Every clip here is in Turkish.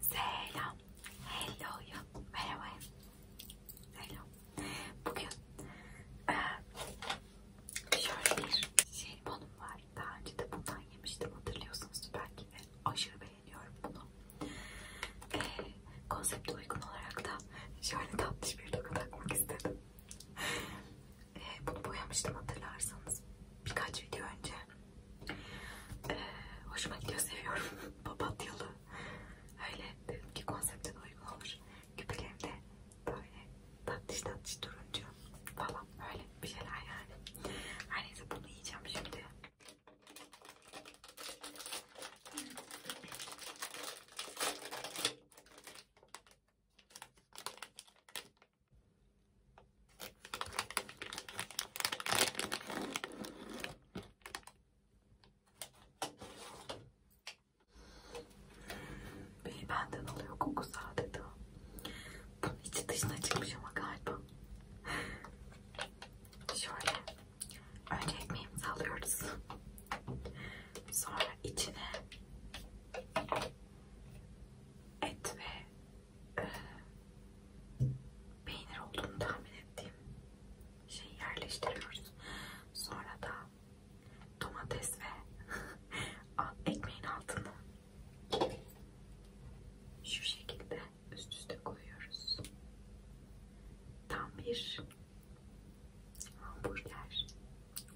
Selam. Hello ya. Merhaba. Selam. Bugün e, şöyle bir jelibonum var. Daha önce de bundan yemiştim hatırlıyorsunuz belki de. Aşırı beğeniyorum bunu. E, konsepte uygun olarak da şöyle tatlış bir dokunaklık istedim e, bunu boyamıştım hatırlarsanız birkaç video önce. E, hoşuma gidiyor, seviyorum. Papatyalı. Öyle dedim ki konsepte de uygun olur. Küpelerim de böyle tatlış tatlış turuncu falan öyle bir şeyler yani. Her neyse bunu yiyeceğim şimdi. Beni benden alıyor kokusu adeta. Bunun içi dışına çıkmış ama galiba. Şöyle. Önce ekmeğimizi alıyoruz. Sonra içine et ve e, peynir olduğunu tahmin ettiğim şeyi yerleştiriyoruz. Sonra da domates ve ekmeğin altını şu şekilde üst üste koyuyoruz. Tam bir hamburger.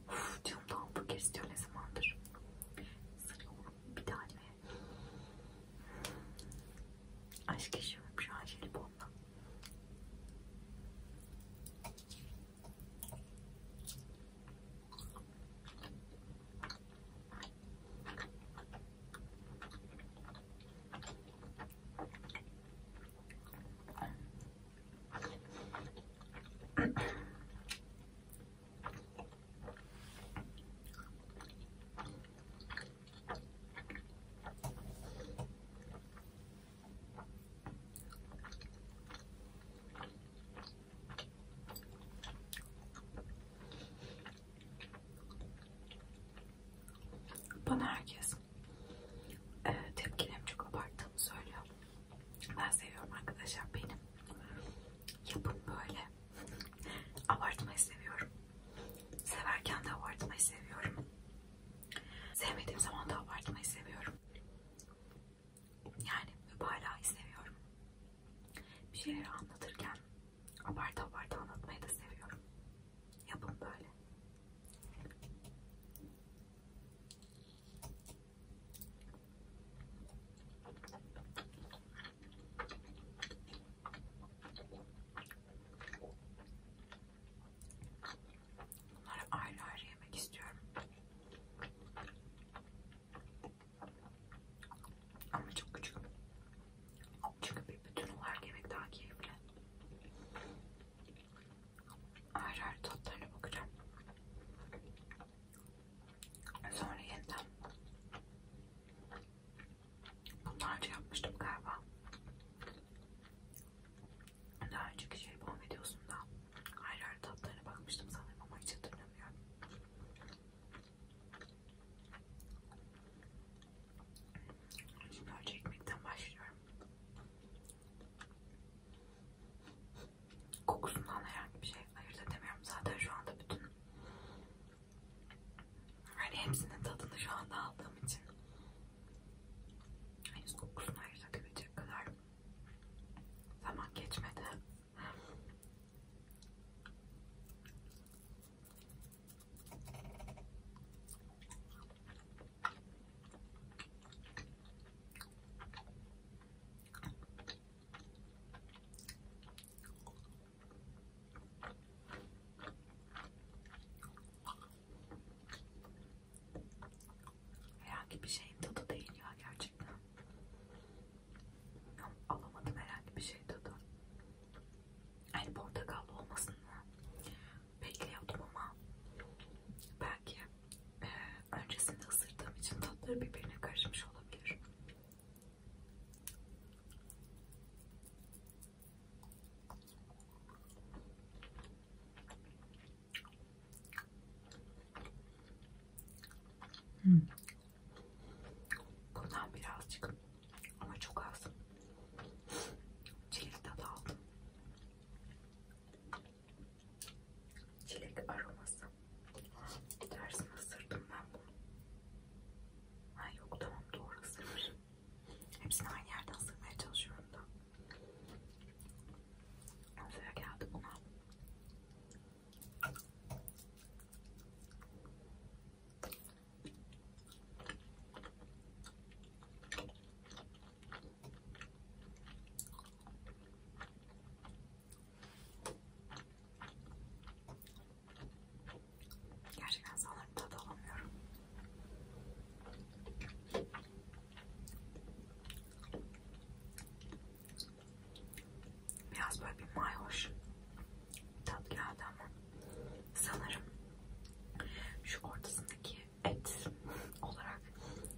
Uf diyorum da hamburger istiyor ne zamandır. Sarıyorum bir tane. Aşk yaşıyorum şu an jelibonla. Bana herkes e, tepkilerimi çok abarttığımı söylüyor. Ben seviyorum arkadaşlar benim yapım böyle. abartmayı seviyorum. Severken de abartmayı seviyorum. Sevmediğim zaman da abartmayı seviyorum. Yani mübalağayı seviyorum. Bir şeyleri anlatırken abartı abartı anlatmayı da seviyorum. Yapın böyle. Bunları ayrı ayrı yemek istiyorum. Ama çok küçük. Çünkü bir bütün olarak yemek daha keyifli. Ayrı ayrı tatlarına bakacağım. Sonra yeniden bunlarca yapmıştım galiba. Daha önceki şey bu videosunda ayrı ayrı tatlarına bakmıştım sanırım ama hiç hatırlamıyorum. Şimdi önce ekmekten başlıyorum kokusundan herhangi bir şey ayırt edemiyorum. Zaten şu anda bütün hani hepsinin tadını şu anda aldığım için henüz kokusunu ayırt edebilecek kadar zaman geçmedi. Herhangi bir şeyin tadı değil ya gerçekten. Yok, alamadım herhangi bir şey tadı. Yani portakallı olmasını bekliyordum ama ben belki e, öncesinde ısırdığım için tatları birbirine karışmış olabilir. Hmm. Bundan birazcık ama çok az çilek tadı aldım. Çilek aroması. Tersini ısırdım ben bunu. Ha yok tamam doğru ısırırım. Hepsini aynı yerden ısırmaya çalışıyorum da. Sıra geldi buna. Gerçekten sanırım tadı alamıyorum. Biraz böyle bir mayhoş tat geldi ama sanırım şu ortasındaki et olarak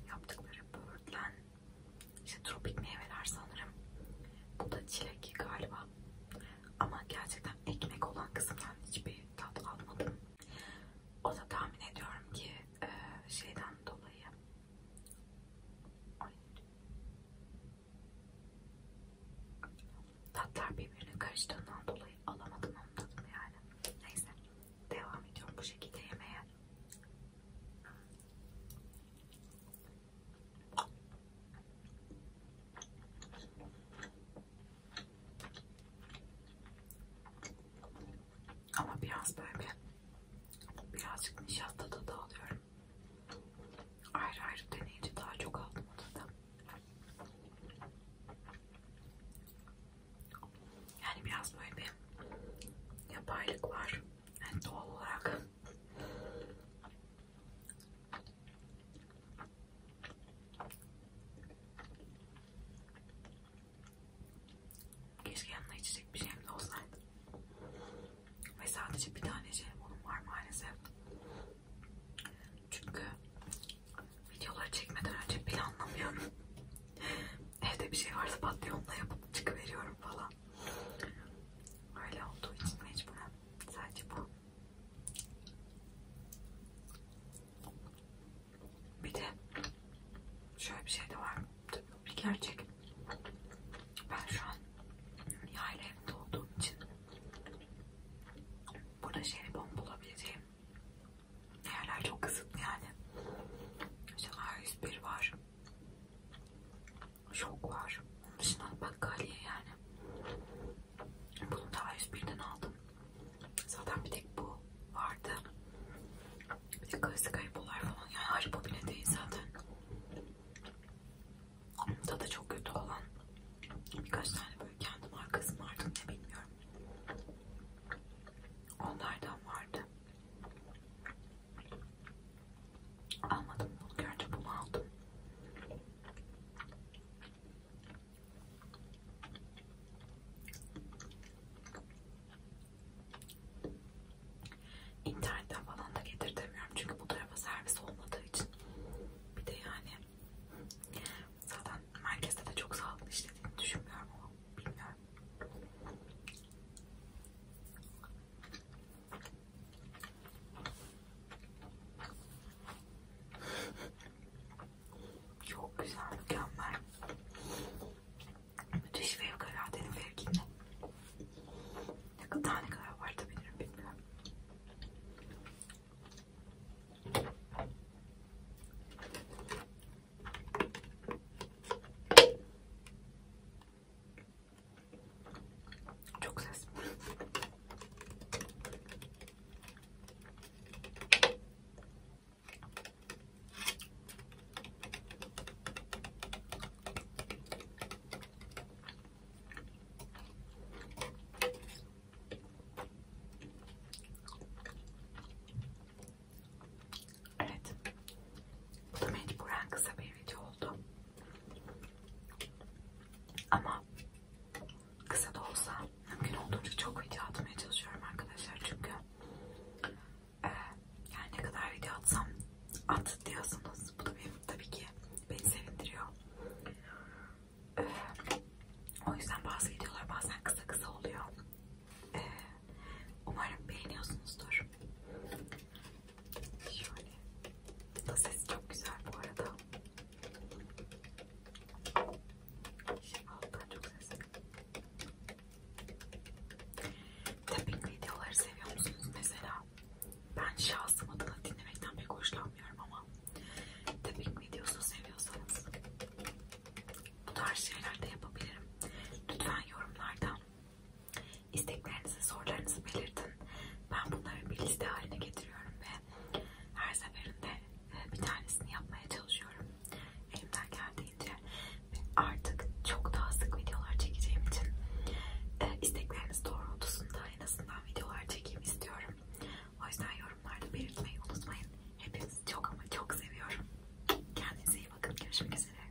yaptıkları böğürtlen işte tropik meyveler sanırım. Bu da çilek galiba. Ama gerçekten ekmek olan kısımdan hiçbir tat almadım. O da tahmin ediyorum ki e, şeyden dolayı. Ay. Tatlar birbirine karıştığından dolayı alamadım onun tadını yani. Neyse devam ediyorum bu şekilde yemeye. Ama biraz böyle birazcık nişasta da dağılıyorum. Ayrı ayrı deneyince daha çok aldım odada. Yani biraz böyle bir yapaylık var. Yani doğal olarak keşke yanına içecek bir şeyim de olsaydı. Ve sadece bir tane jelibonum var maalesef. Çünkü videoları çekmeden önce planlamıyorum evde bir şey varsa patyonla yapıp çıkıveriyorum falan. Öyle olduğu için mecburen sadece bu. Bir de şöyle bir şey de var. Tabii bir gerçek. Ben şu an yayla evinde olduğum için burada jelibon bulabileceğim yerler çok kısıtlı yani. İşte A101 var şok var. Onun dışında bakkaliye yani. Bunu daha 101'den aldım. Zaten bir tek bu vardı. Bir de klasik haribolar falan. Yani haribo bile değil zaten. Tadı çok kötü olan birkaç tane böyle kendi markası mı artık ne bilmiyorum. Onlardan vardı. Almadım bunu. Görünce bunu aldım. İnternetten falan da getirtemiyorum çünkü bu tarafa servis olmadığı için. Bir de yani zaten merkezde de çok sağlıklı işlediğini düşünmüyorum ama bilmiyorum. Çok güzel, mükemmel. Müthiş fevkaladenin fevkinde. Ne kadar ne kadar abartabilirim bilmiyorum. Çok ses. Evet. Bu da mecburen kısa bir video oldu. Ama kısa da olsa mümkün olduğunca çok video atmaya çalışıyorum arkadaşlar çünkü e, yani ne kadar video atsam at diyorsunuz. Bu da benim tabii ki beni sevindiriyor. E, o yüzden bazı videolar bazen kısa kısa oluyor. E, umarım beğeniyorsunuzdur. Şöyle. Da sesi çok güzel bu arada. Şifalıktan çok sesli. Tapping videoları seviyor musunuz mesela? Ben şahsım adına dinlemekten pek hoşlanmıyorum ama tapping videosu seviyorsanız bu tarz şeyler de yapabilirim. Lütfen yorumlardan İsteklerinizi, sorularınızı belirtin. Ben bunları bir liste haline getiriyorum ve her seferinde e, bir tanesini yapmaya çalışıyorum. Elimden geldiğince artık çok daha sık videolar çekeceğim için e, istekleriniz doğrultusunda en azından videolar çekeyim istiyorum. O yüzden yorumlarda belirtmeyi unutmayın. Hepinizi çok ama çok seviyorum. Kendinize iyi bakın. Görüşmek üzere.